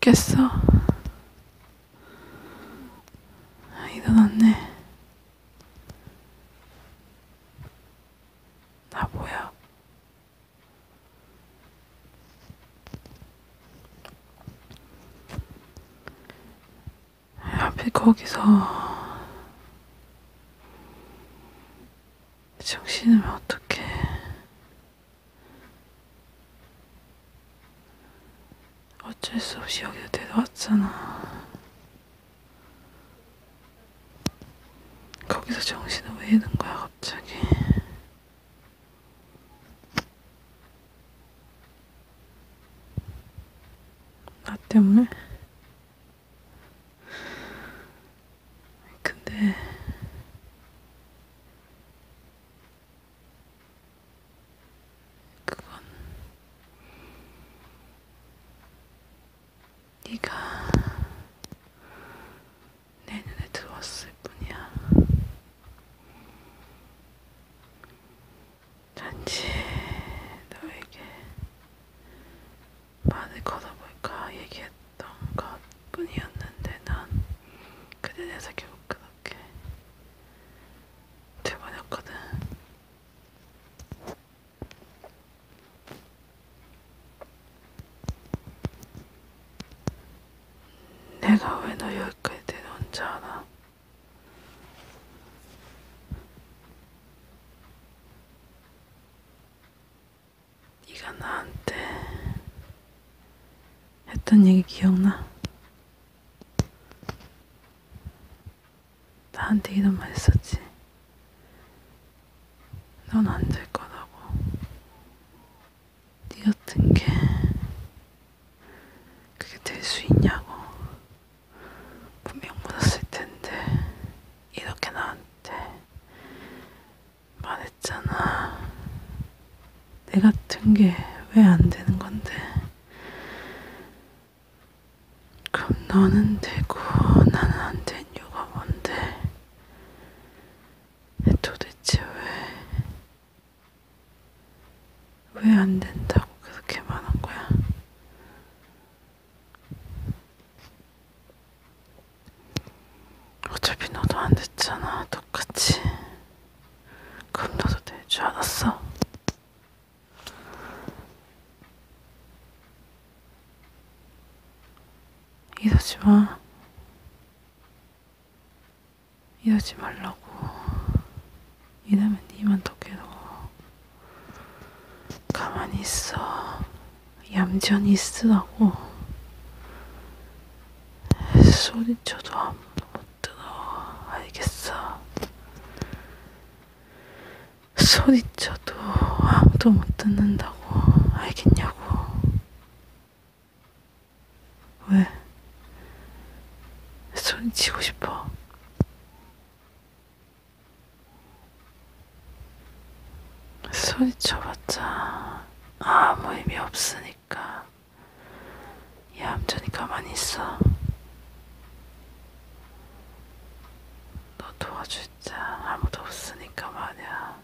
깼어. 일어났네. 나 뭐야? 하필 거기서 정신을 어떻게 어쩔 수 없이 여기로 데려왔잖아. 거기서 정신을 왜 잃은 거야 갑자기? 나 때문에? 근데 그건 네가 내 눈에 들어왔을 뿐이야. 단지 너에게 말을 걸어볼까 얘기했던 것 뿐이었는데 난 그대 내서 결국 그렇게 돼버렸거든. 내가 왜 너 여기까지 데려온 줄 알아? 네가 나한테 했던 얘기 기억나? 나한테 이런 말 했었지. 넌 안 될 거라고. 네 같은 게 그게 될 수 있냐고. 분명 묻었을 텐데 이렇게 나한테 말했잖아. 내 같은 게 왜 안 되는 건데? 그럼 너는 되고 나는 안 된 이유가 뭔데? 도대체 왜? 왜안 된다고 계속 개만한 거야? 어차피 너도 안 됐잖아. 똑같이. 그럼 너도 될 줄 알았어? 이러지 마. 이러지 말라고. 이러면 니만 더 괴로워. 가만히 있어. 얌전히 있으라고. 소리쳐도 아무도 못 들어. 알겠어. 소리쳐도 아무도 못 듣는다고. 알겠냐고. 왜? 소리치고 싶어. 소리쳐봤자 아무 의미 없으니까 얌전히 가만히 있어. 너 도와줄 자 아무도 없으니까 말이야.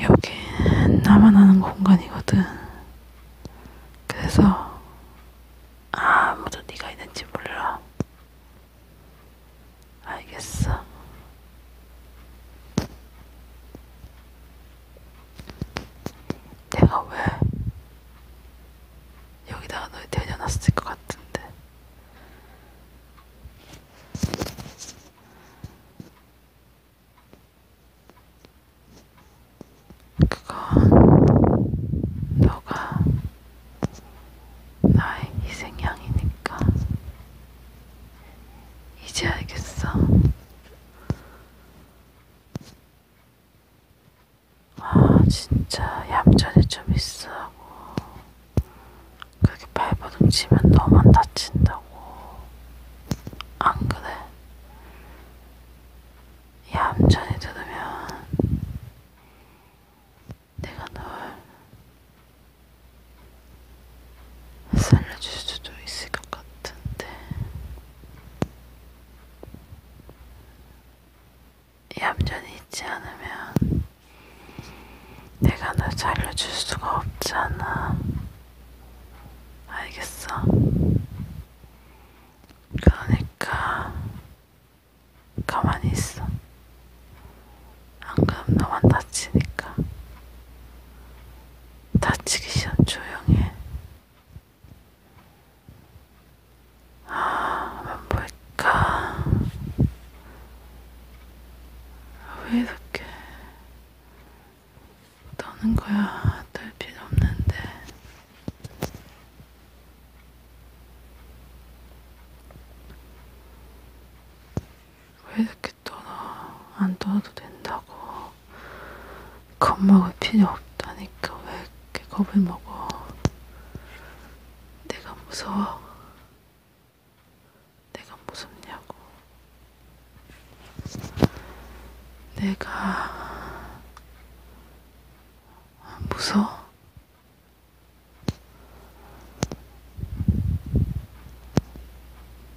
여긴 나만 아는 공간이거든. 그래서 아무도 네가 있는지 몰라. 알겠어. 내가 왜 여기다가 널 데려놨을 것 같은데. 그건 너가 나의 희생양이니까 이제 알겠어. 아, 진짜 얌전히 좀 있으라고. 그렇게 발버둥 치면 너만 다친다고. 안 그래? 얌전히 들으면 내가 널 살려줄 수도 있을 것 같은데 얌전히 있지 않으면 내가 널 살려줄 수가 없잖아. 알겠어. 그러니까 가만히 있어. 안 그럼 너만 다치니까. 다치기 싫어 조용해. 아, 안 볼까? 왜 이렇게 떠는 거야. 떨 필요 없는데. 왜 이렇게 떠나? 안 떠도 된다고. 겁먹을 필요 없다니까. 왜 이렇게 겁을 먹어? 내가 무서워. 내가 무섭냐고. 내가 무서워?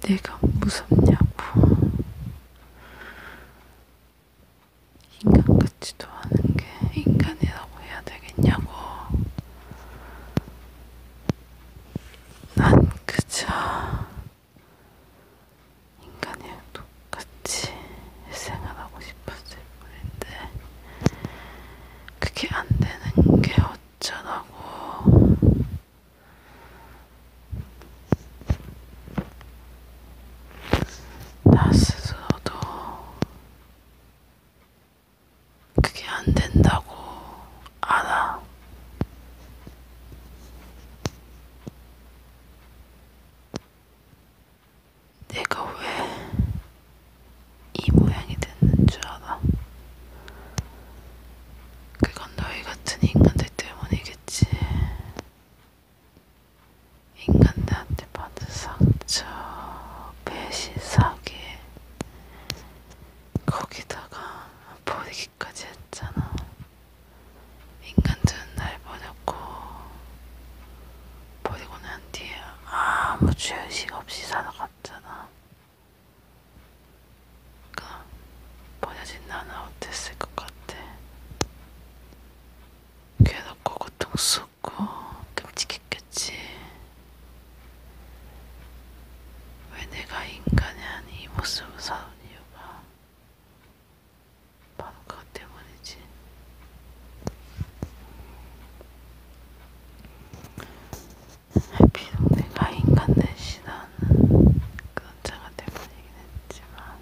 내가 무섭냐고. 인간 같지도 않은 게 인간이라고 해야 되겠냐고. 난 그저 인간이랑 똑같이 생활하고 싶었을 뿐인데 그게 안 되는 게 어쩌라고 나 스스로도 그게 안 된다고 알아. 내가 왜 이 모양이 됐는 줄 알아. 그건 너희 같은 인간들 때문이겠지. 인간들한테 받은 상처, 배신, 사기, 거기다가 버리기까지 했잖아. 인간들은 날 버렸고 버리고 난 뒤에 아무 죄의식 없이 살아갔잖아. 그러니까 버려진 나는 어땠을 것 같아. 괴롭고 고통스럽고 끔찍했겠지. 왜 내가 인간의 한이 모습을 사는 이유가 바로 그것 때문이지. 비록 내가 인간 대신 하는 그런 자가 되버리긴 했지만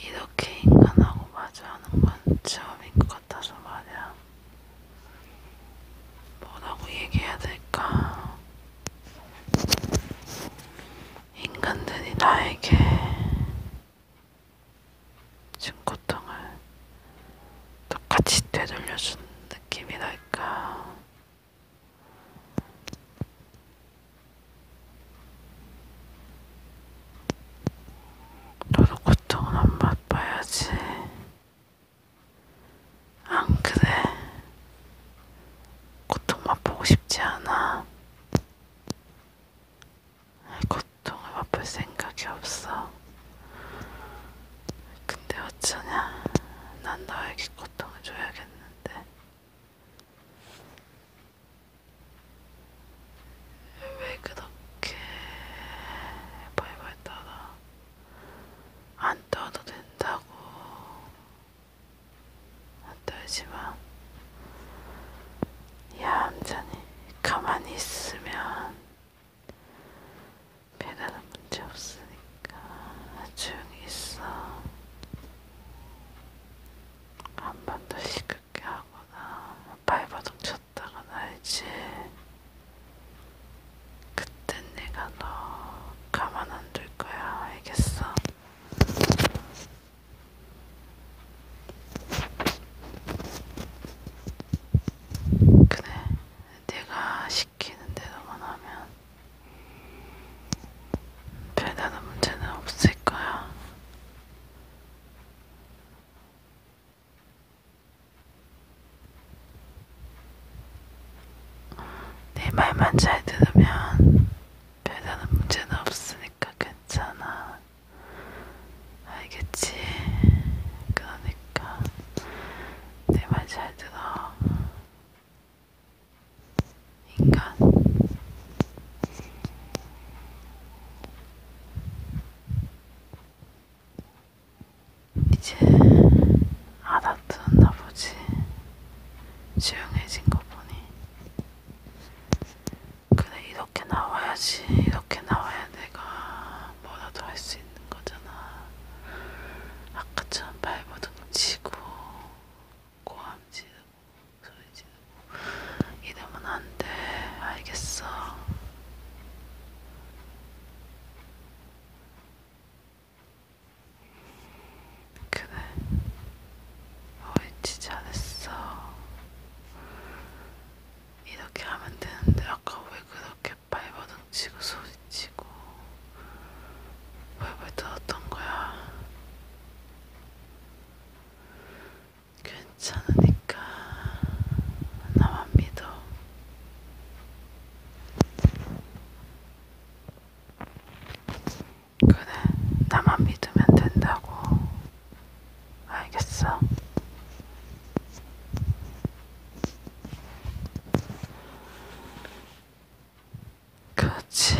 이렇게 인간하고 마주하는 건 처음인 것 같아서 말이야. 뭐라고 얘기해야 될까? 인간들이 나에게 지금 고통을 똑같이 되돌려준 느낌이랄까. 너도 고통을 한번 봐야지. 안 그래. 고통 맛보고 싶지 않아. 고통을 맛볼 생각이 없어. 근데 어쩌냐. 난 너에게 고통을 줘야겠는데. 왜 그렇게 벌벌 떨어? 안 떠도 된다고. 안 떨지 마. 얌전히 가만히 있으면 배달은 문제 없으니까 조용히 있어. 한 번도 시끄럽게 하거나 한 발버둥 쳤다가 알지. 그땐 내가 너 가만 안 둘 거야. 알겠어? 그래, 내가 시키는 대로만 하면 별다른 문제는 없을 거야. 내 말만 잘 들으면 별다른 문제는 없으니까 괜찮아. 알겠지? 그러니까 내 말 잘 들어. 인간. 이제 알아들었나 보지. 조용해진 거 보니. 그래, 이렇게 나와야지. 이렇게 나와야 내가 뭐라도 할 수 있는 거잖아. 아까처럼 발버둥 치고, 고함 지르고, 소리 지르고. 이러면 안 돼. 알겠어. 그래, 옳지 잘했어. 이렇게 하면 되는데 아까 왜 그렇게 발버둥 치고 소리치고 벌벌 떨었던 거야? 괜찮으니까 나만 믿어. 그래, 나만 믿으면 된다고. 알겠어. 그렇지.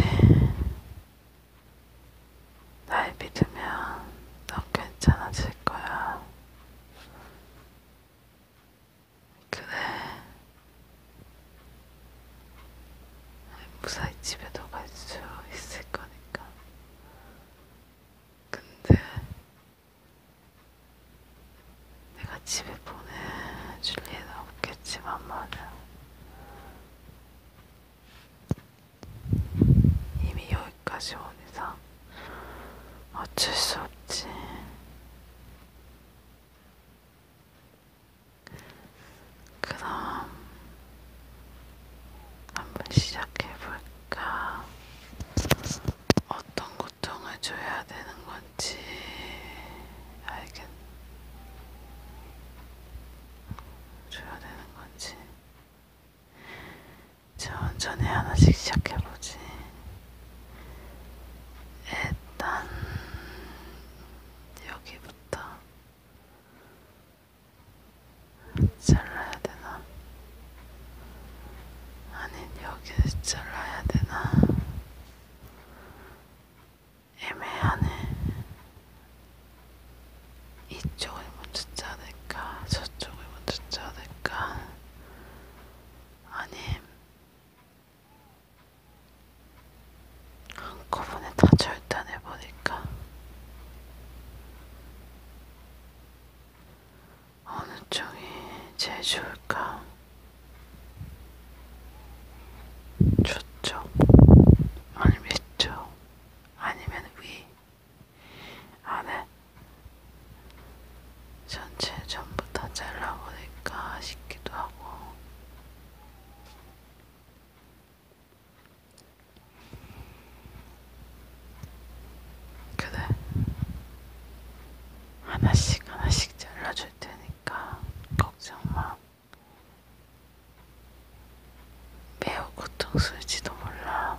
날 믿으면 넌 괜찮아질 거야. 그래. 무사히 집에도 갈수 있을 거니까. 근데 내가 집에 보내줄 리는 없겠지만 말이야. 이미 여기까지 온 이상 어쩔 수 없지. 그럼 한번 시작해볼까? 어떤 고통을 줘야 되는 건지 알겠... 줘야 되는 건지 천천히 하나씩 시작해보지. 일단 여기부터 잘라야 되나? 아니 여기서 잘라야 되나? 애매하네. 이쪽을 먼저 자를까, 저쪽을 먼저 자를까, 아님 한꺼번에 다 절단해버릴까? 어느 쪽이 제일 좋을까? 저쪽, 아니면 이쪽, 아니면 위. 안에 아, 네. 전체 전부 다 잘라보니까 싶기도 하고 그래 하나씩 하나씩 잘라줄 테니까 걱정 마. 매우 고통스러울지도 몰라.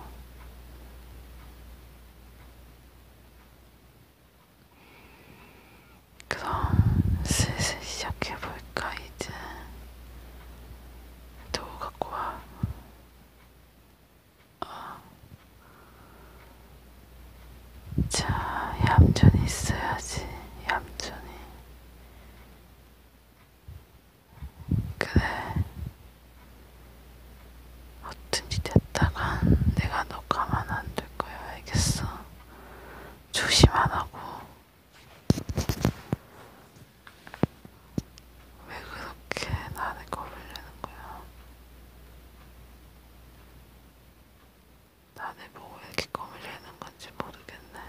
그럼 슬슬 시작해볼까 이제 도우 갖고 와. 어. 자, 얌전히 있어야지, 얌전히. 그래. 어떤지 됐다간 내가 너 가만 안 둘 거야. 알겠어? 조심 안 하고. 왜 그렇게 나를 거부려는 거야? 나를 보고 뭐 이렇게 거물려는 건지 모르겠어. 모르겠네.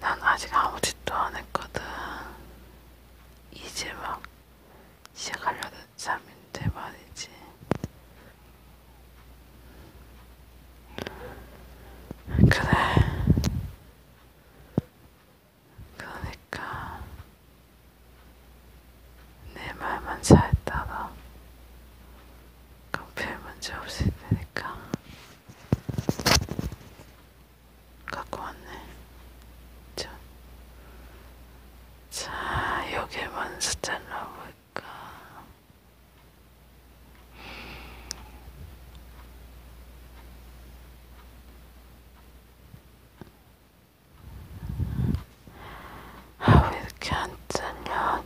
난 아직 아무 짓도 안 했거든. 이제 막 시작하려는 잠인데 말이지. 그래. 그러니까 내 말만 잘 따라 그럼 별 문제 없을 테니까. 갖고 왔네. 자, 자 여기 먼저 잘라볼까? 아, 왜 이렇게 안 잘려?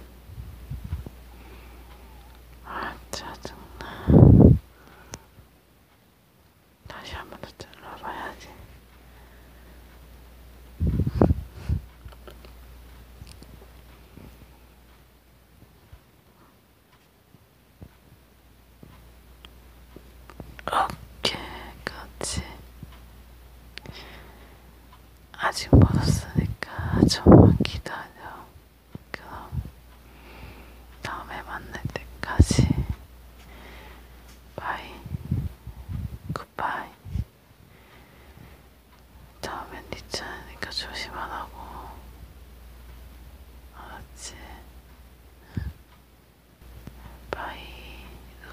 아 짜증나. 다시 한번더 잘라봐야지. 어깨까지 아직 멀었으니까 좀만 기다려. 그럼 다음에 만날 때까지 바이 굿바이 다음엔 니 네 차니까 조심하라고 알았지? 바이 루